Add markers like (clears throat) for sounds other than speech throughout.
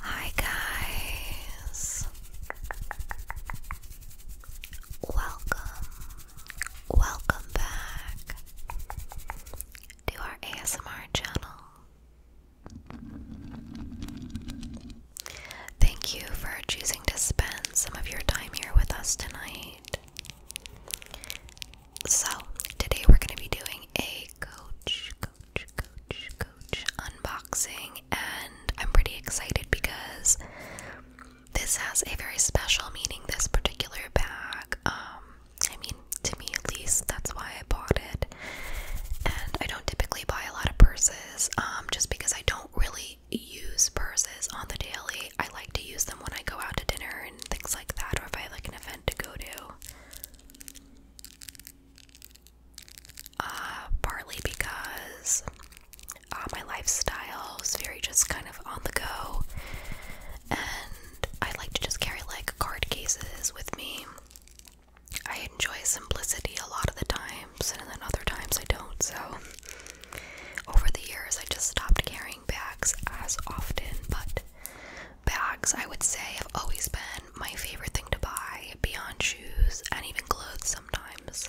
Hi, guys. Welcome, welcome back to our ASMR channel. Thank you for choosing to spend some of your time here with us tonight. So today we're going to be doing a coach, coach, coach, coach unboxing, and I'm pretty excited because this has a very special meaning. This particular bag, um, I mean, to me at least, that's why I bought it. And I don't typically buy a lot of purses, um, just because I don't really use purses on the daily. I like to use them when I go out to dinner and things like that, or if I have like an event to go to. Uh, partly because uh, my lifestyle is very just kind of on the go, and I like to just carry like card cases with me. I enjoy simplicity a lot of the times, and then other times I don't. So, over the years, I just stopped carrying bags as often, but Bags, I would say, have always been my favorite thing to buy beyond shoes and even clothes sometimes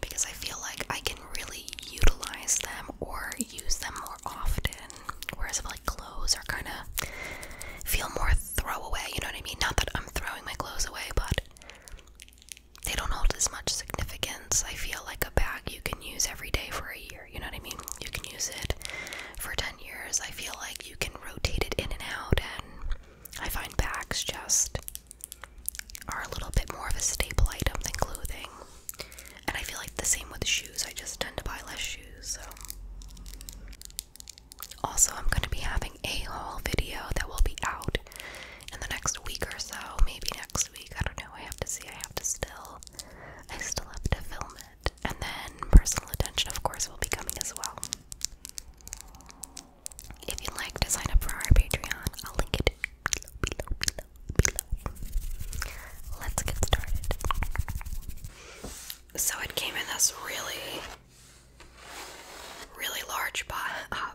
because I feel like I can really utilize them or use them more often. Whereas, like clothes are kind of feel more throwaway, you know what I mean? Not that I'm throwing my clothes away, but they don't hold as much significance. I feel like a bag you can use every day for a year year. You know what I mean? You can use it for 10 years. I feel like you can rotate it in and out, and I find bags just are a little bit more of a staple item than clothing. And I feel like the same with shoes. I just tend to buy less shoes, so. Also, I'm going to be having a haul video that will be out in the next week or so. Maybe next week. I don't know. I have to see. I have to still. I still have to film it. And then personal attention, of course, will be coming as well. If you'd like to sign up for our Patreon, I'll link it below, Let's get started. So it came in this really, really large uh,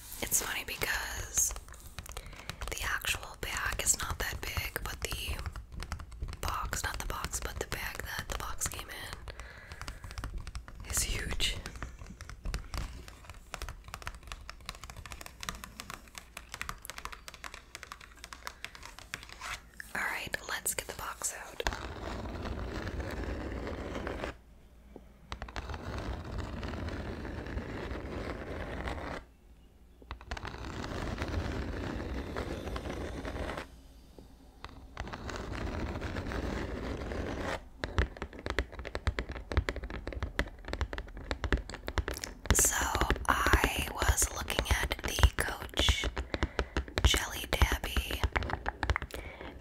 It's funny because the actual bag is not that big, but the box, not the box, but the bag that the box came in is huge. Alright, let's get the box out. So I was looking at the Coach Jelly Dabby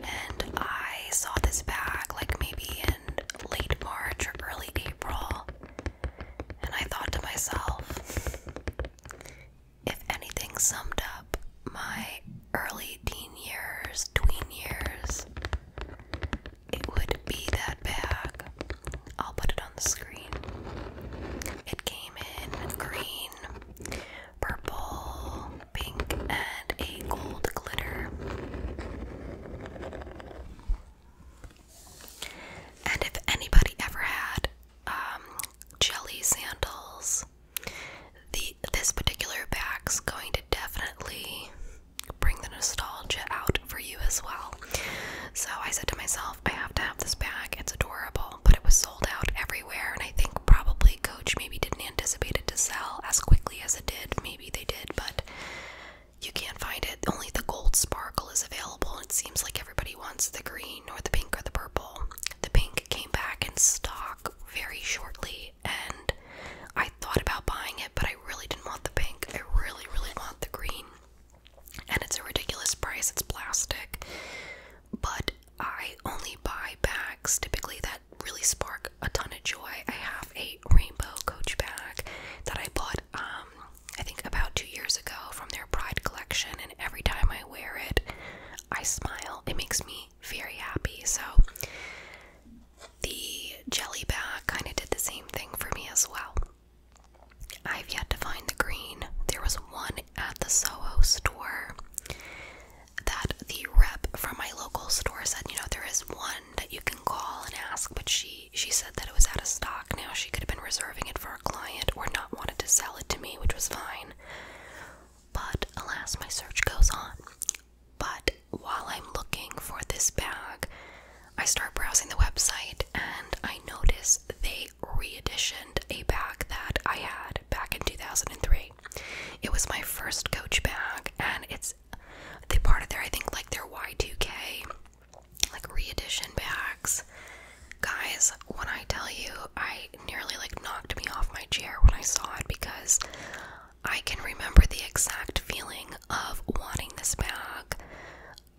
and I saw this bag like maybe late March or early April, and I thought to myself, if anything summed up my early teen years, tween years, it would be that bag. I'll put it on the screen. It came in green, purple, pink, and a gold glitter. And if anybody ever had um, jelly sandals, the this particular bag's going to definitely bring the nostalgia out for you as well. So I said to myself, I have to have this bag. It's adorable, but it was sold out everywhere, and I think probably Coach maybe didn't anticipate it to sell as quickly as it did. Maybe they did, but you can't find it. Only the gold sparkle is available. It seems like everybody wants the green or the pink or the purple. The pink came back in stock very shortly, and I thought about buying it, but I really didn't want the pink. I really, really want the green. And it's a ridiculous price. It's plastic. But I only buy bags typically that really spark a ton of joy. I have a rainbow coach bag that I bought um, I think about two years ago from their Pride collection, and every time I wear it, I smile. It makes me very happy. So the jelly bag kind of did the same thing for me as well. I've yet to find the green. There was one at the Soho store that the rep from my local store said, you know, there is one that you can call and ask, but she she said that it was out of stock. Now she could have been reserving it for a client or not wanted to sell it to me, which was fine. But alas, my search goes on. But while I'm looking for this bag, I start browsing the website and I notice they re-editioned a bag that I had back in 2003. It was my first Coach bag, and it's the part of their I think like their Y2K like reedition bags. Guys, when I tell you, I nearly like knocked me off my chair when I saw it because I can remember the exact feeling of wanting this bag,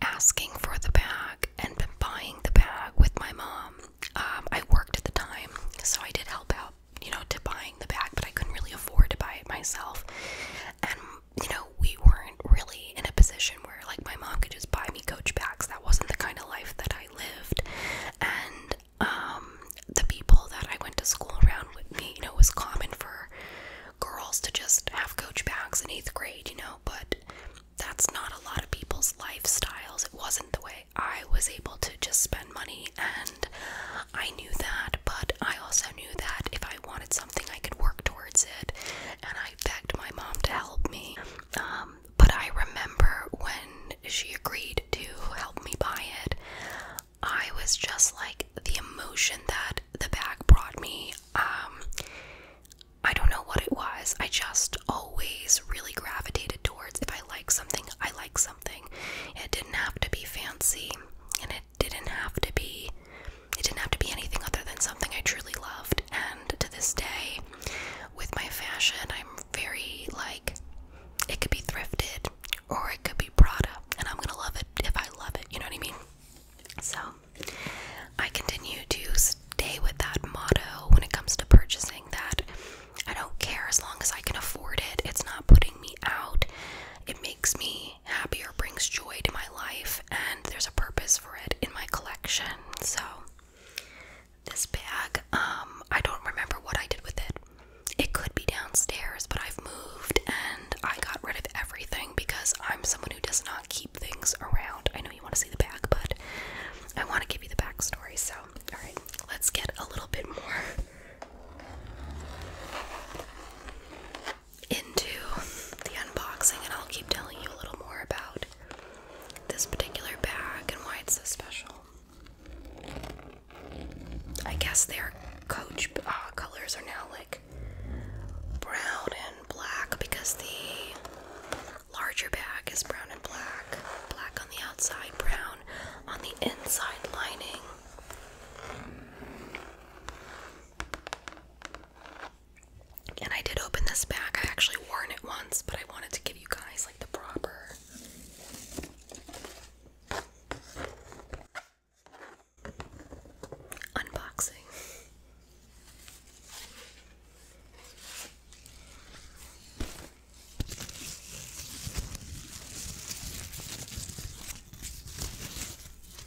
asking for the bag, and then buying the bag with my mom. Um, I worked at the time, so I did help out, you know, to buying the bag, but I couldn't really afford to buy it myself you know, we weren't really in a position where like my mom could just buy me coach bags. That wasn't the kind of life that I lived. And um the people that I went to school around with me, you know, it was common for girls to just have coach bags in eighth grade, you know, but that's not a lot of people's lifestyles. It wasn't the way I was able to just spend money and I knew that, but I also also knew that if I wanted something, I could work towards it, and I begged my mom to help me. Um, but I remember when she agreed to help me buy it, I was just like the emotion that the bag brought me. Um, I don't know what it was. I just always really gravitated towards if I like something, I like something. It didn't have to be fancy and it didn't have to be it didn't have to be anything other than something I truly loved. And to this day, with my fashion, I'm very like it could be thrifted or it could be Prada, and I'm gonna love it if I love it. You know what I mean? So I continue to stay with that motto when it comes to purchasing. That I don't care as long as I can afford it. It's not putting me out. It makes me Happier brings joy to my life, and there's a purpose for it in my collection. So, this bag, um, I don't remember what I did with it. It could be downstairs, but I've moved and I got rid of everything because I'm someone who does not keep things around. I know you want to see the bag, but I want to give you the backstory. So, all right, let's get a little bit more into the unboxing, and I'll keep telling you a little more about this particular bag and why it's so special. I guess their coach uh, colors are now like brown and black because the larger bag is brown and black. Black on the outside, brown on the inside lining. And I did open this back. I actually wore it once, but I wanted to give you guys like the proper. Unboxing.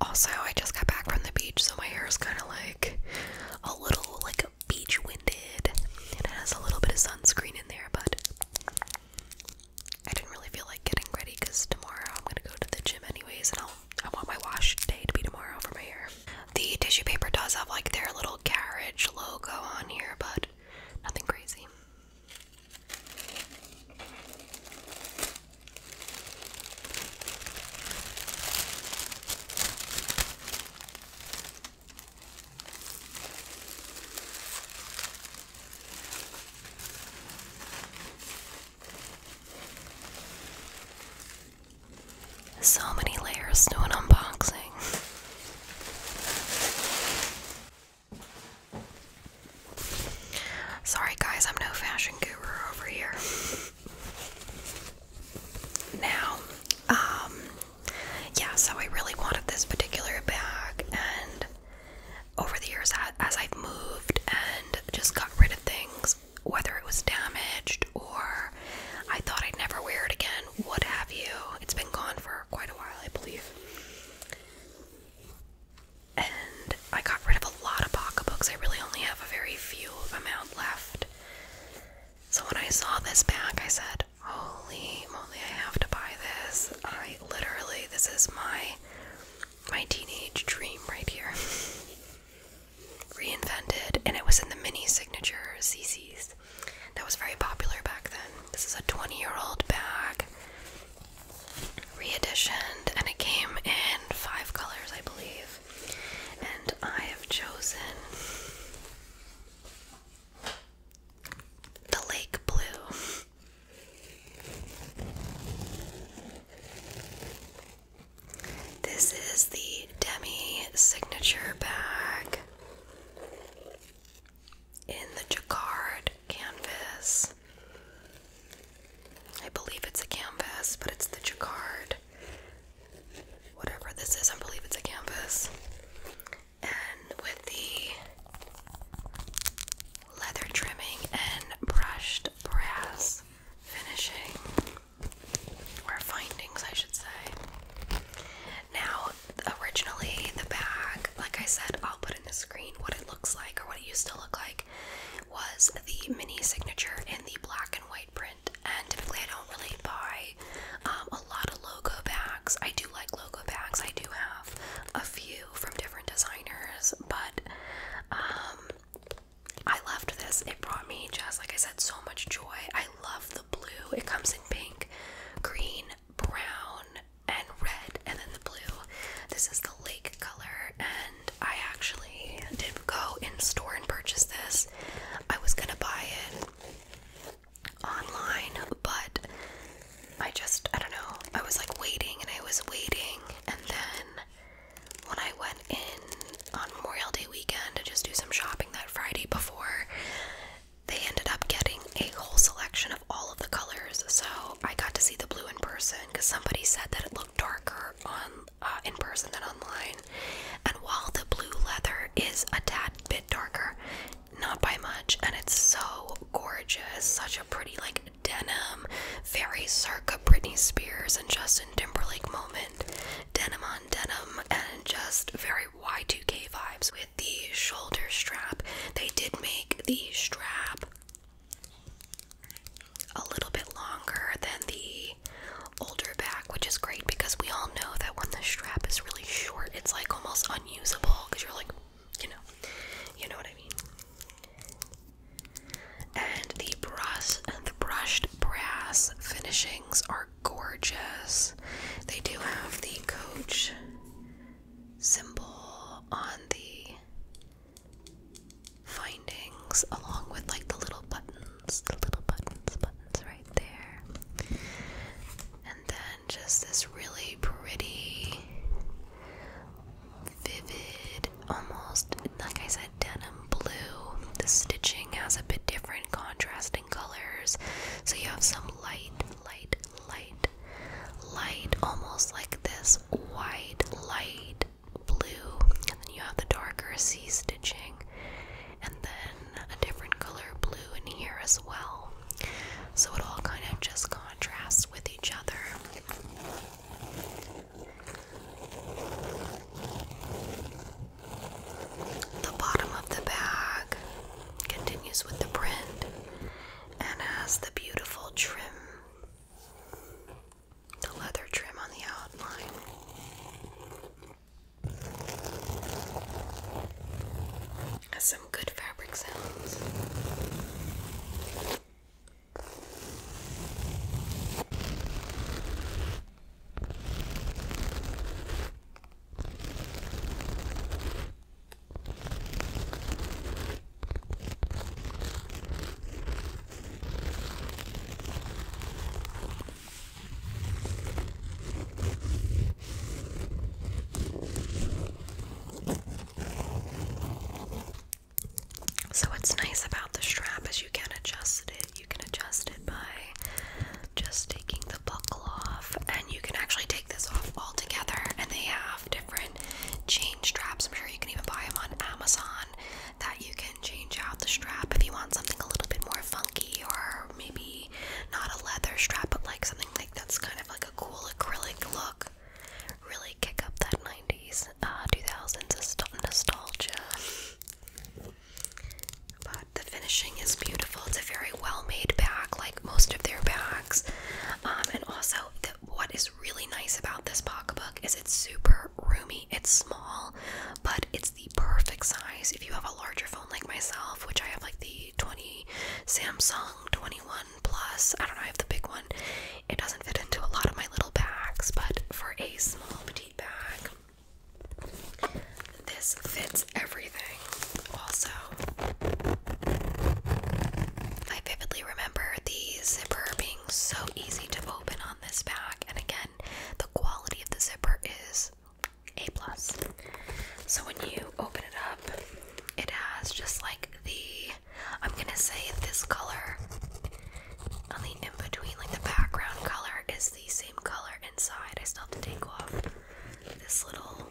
Also, I just got back from the beach, so my hair is kind of like a little like beach winded, and it has a little bit of sunscreen in there, but I didn't really feel like getting ready because tomorrow I'm gonna go to the gym anyways, and I'll I want my wash day to be tomorrow for my hair. The tissue paper does have like their little carriage logo on here, but nothing crazy. So many layers to an unboxing. Sorry, guys, I'm no fashion guru over here. Now, um, yeah, so I really wanted this particular bag, and over the years, as I've moved and just got rid of things, whether it was damaged or I thought I'd never wear it again, what have you, it's been gone for quite a while, I believe. And I got rid of a lot of pocketbooks. I really only have a very few amount left. So when I saw this bag, I said, Holy moly, I have to buy this. I literally this is my my teenage dream right here. (laughs) Reinvented and it was in the mini signature CC's. That was very popular back then. This is a 20 year old bag. re-editioned, and it came in five colors, I believe and I have chosen the lake blue. This is the Demi signature bag in the jacquard canvas. I believe it's a canvas, but it's the jacquard whatever this is, I believe it's a canvas. And with the leather trimming and brushed brass finishing, or findings, I should say. Now, originally, the bag, like I said, I'll put in the screen what it looks like or what it used to look like, was the mini signature in the black and white print. And typically, I don't really buy um, a lot of logo bags. I do like logo bags. I do have a few from different designers, but um, I loved this. It brought me just like I said, so much joy. I love the blue. It comes in pink, green, brown, and red, and then the blue. This is the lake color, and I actually did go in store and purchase this. I was gonna buy it online, but I just, I don't know, I was like waiting and I was waiting, and then when I went in on Memorial Day weekend to just do some shopping that Friday before, they ended up getting a whole selection of all of the colors. So I got to see the blue in person because somebody said that it looked darker on uh, in person than online. And while the blue leather is a tad bit darker, not by much, and it's so gorgeous, such a pretty like denim, very circa Britney Spears and Justin Timberlake moment, denim on denim, and just very Y2K vibes with the shoulder strap. They did make the strap a little bit longer than the older back, which is great because we all know that when the strap is really short, it's like almost unusable because you're like, you know, you know what I mean. And the brass and the brushed brass finishings are gorgeous. They do have the coach symbol on the findings along with like the little buttons buttons, the little buttons, buttons right there. And then just this really pretty, vivid, almost like I said, denim blue. The stitching has a bit different contrasting colors. So you have some light, light, light, light, almost like this white, light blue. And then you have the darker sea stitching and then a different color blue in here as well. So it all kind of just contrasts with each other. The bottom of the bag continues with the print and has the beautiful trim, the leather trim on the outline. Has some good fabric sounds. So, what's nice about the strap is you can adjust it. You can adjust it by just taking the buckle off, and you can actually take this off altogether. And they have different change straps. I'm sure you can even buy them on Amazon that you can change out the strap if you want something a little bit more funky or maybe not a leather strap but like something like that's kind of like a cool acrylic look. Really kick up that 90s, 2000s uh, nostalgia. But the finishing is beautiful. It's a very well made bag, like most of their bags. Um, and also, what is really nice about this pocketbook is it's super roomy. It's small, but it's the perfect size. If you have a larger phone like myself, which I have like the 20 Samsung 21 Plus, I don't know, I have the big one. It doesn't fit into a lot of my little bags, but for a small petite bag, this fits everything. Also, I vividly remember the zipper being so easy to open on this bag, and again, the quality of the zipper is a plus. So when you open it up, it has just like the I'm gonna say this color the in between, like the background color is the same color inside. I still have to take off this little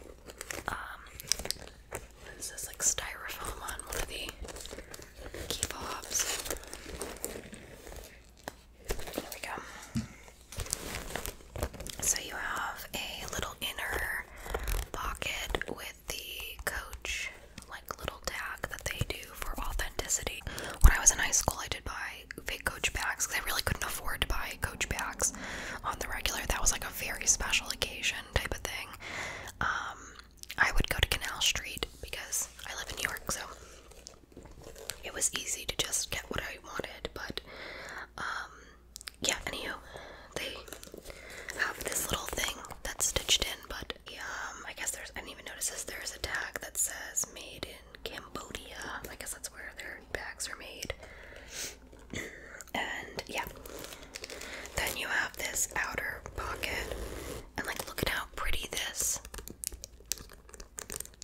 um, this is like styrofoam on one of the key pops. There we go. So you have a little inner pocket with the coach like little tag that they do for authenticity. When I was in high school, I did buy fake coach bags because I really couldn't afford to buy coach bags on the regular. That was like a very special occasion type of thing. Um, I would go to Canal Street because I live in New York, so it was easy to just get what I wanted, but um yeah, Anyhow, they have this little thing that's stitched in, but um I guess there's I didn't even notice this there's a tag that says made in Cambodia. I guess that's where their bags are made. (clears throat) and yeah. Then you have this outer pocket. And like look at how pretty this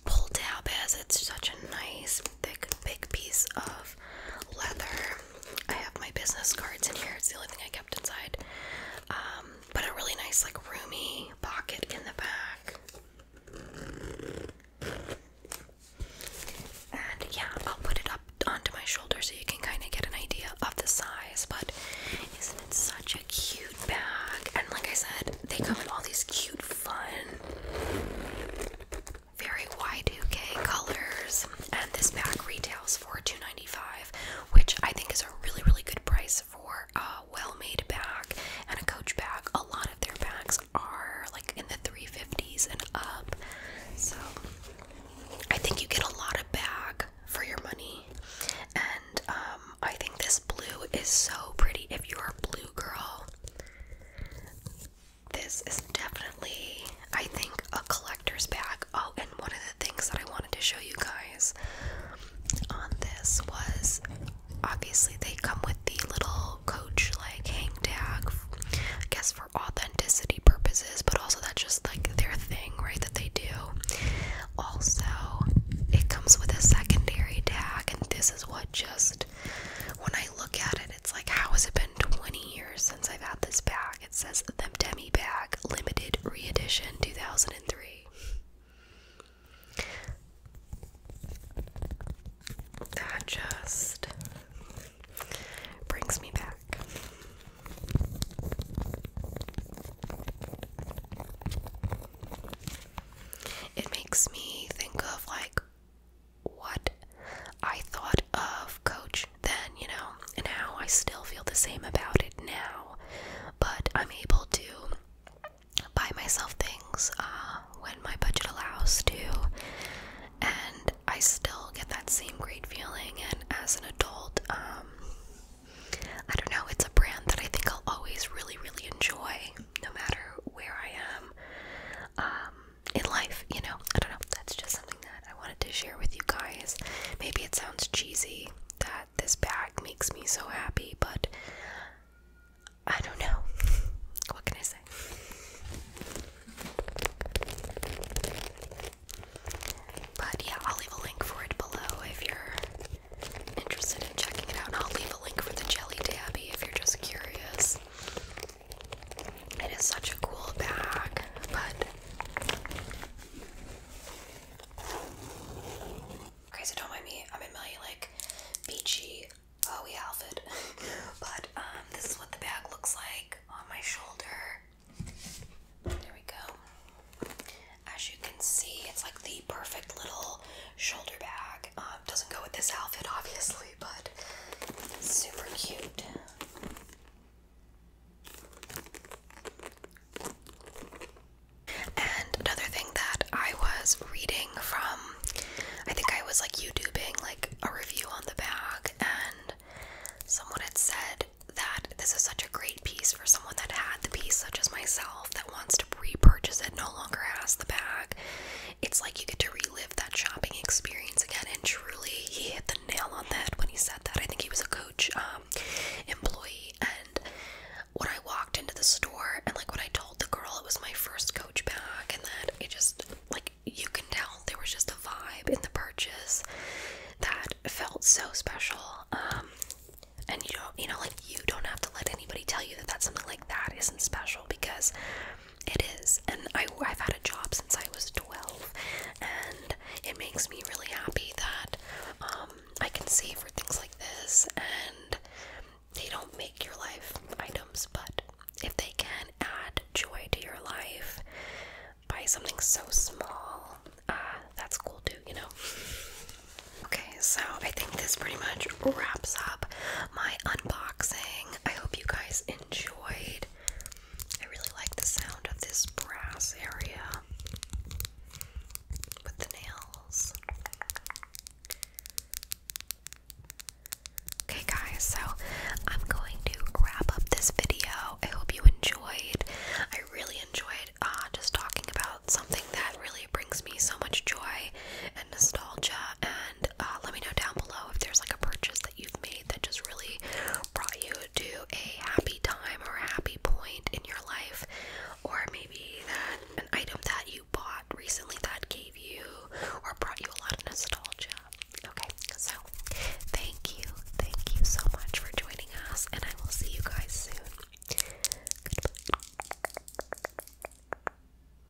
pull tab is. It's such a nice, thick, big piece of leather. I have my business cards in here. It's the only thing I kept inside. Um, but a really nice, like, roomy pocket in the back. And yeah, I'll put it up onto my shoulder so you can kind of get an idea of the size. But isn't it such a cute bag? And like I said, they come in all these cute fun. Very wide 2 colors. And this pack retails for $2.95, which I think is a really, really good price for a well-made bag and a coach bag. A lot of their bags are like in the 350s and up. So I think you get a lot of bag for your money. And um, I think this blue is so pretty. If you're a blue girl, this is definitely, I think, a collector's bag. Oh, and one of the things that I wanted to show you guys on this was obviously they come with the little coach like hang tag, I guess for authenticity purposes, but also that's just like their thing, right? That they do. Also, it comes with a secondary tag, and this is what just when I look at it, it's like, how has it been 20 years since I've had this bag? It says the Demi Bag Limited Reedition 2003. That just brings me back. It makes me think of like what I thought of Coach then, you know, and how I still feel the same about it now. But I'm able to buy myself things uh, when my budget allows to, and I still get that same great feeling. And as an adult, um, I don't know, it's a brand that I think I'll always really, really enjoy, no matter where I am um, in life, you know. I don't know. That's just something that I wanted to share with you guys. Maybe it sounds cheesy that this bag makes me so happy, but I don't know. (laughs) what can I say? But yeah, I'll leave a link for it below if you're interested checking it out, and I'll leave a link for the Jelly Tabby if you're just curious. It is such a cool bag, but. Okay, so don't mind me. I'm in my like beachy, owie uh, outfit, (laughs) but um, this is what the bag looks like on my shoulder. There we go. As you can see, it's like the perfect little shoulder bag. Um, doesn't go with this outfit, obviously, but super cute. And another thing that I was reading from, I think I was like YouTubing like a review on the bag, and someone had said that this is such a great piece for someone that had the piece, such as myself, that wants to repurchase it, no longer has the bag. It's like you get to read relive that shopping experience again. And truly, he hit the nail on the head when he said that. I think he was a coach um, employee. And when I walked into the store and like when I told the girl it was my first coach bag, and that it just like you can tell there was just a vibe in the purchase that felt so special. Um, and you don't, you know, like you don't have to let anybody tell you that that's something like that isn't special because it is. And I, have had a job since I was 12, and it makes me really happy that um, I can save for things like this. And they don't make your life items, but if they can add joy to your life buy something so small, uh, that's cool too, you know? Okay, so I think this pretty much wraps up my unboxing I hope you guys enjoyed. I really like the sound of this brass area with the nails. Okay, guys, so I'm going to wrap up this video. I hope you enjoyed. I really enjoyed uh, just talking about something that really brings me so much joy and nostalgia and uh, let me know down below if there's like a purchase that you've made that just really brought you to a happy time or a happy point in your life, or maybe that an item that you bought recently that gave you or brought you a lot of nostalgia. Okay, so thank you, thank you so much for joining us, and I will see you guys soon. Goodbye.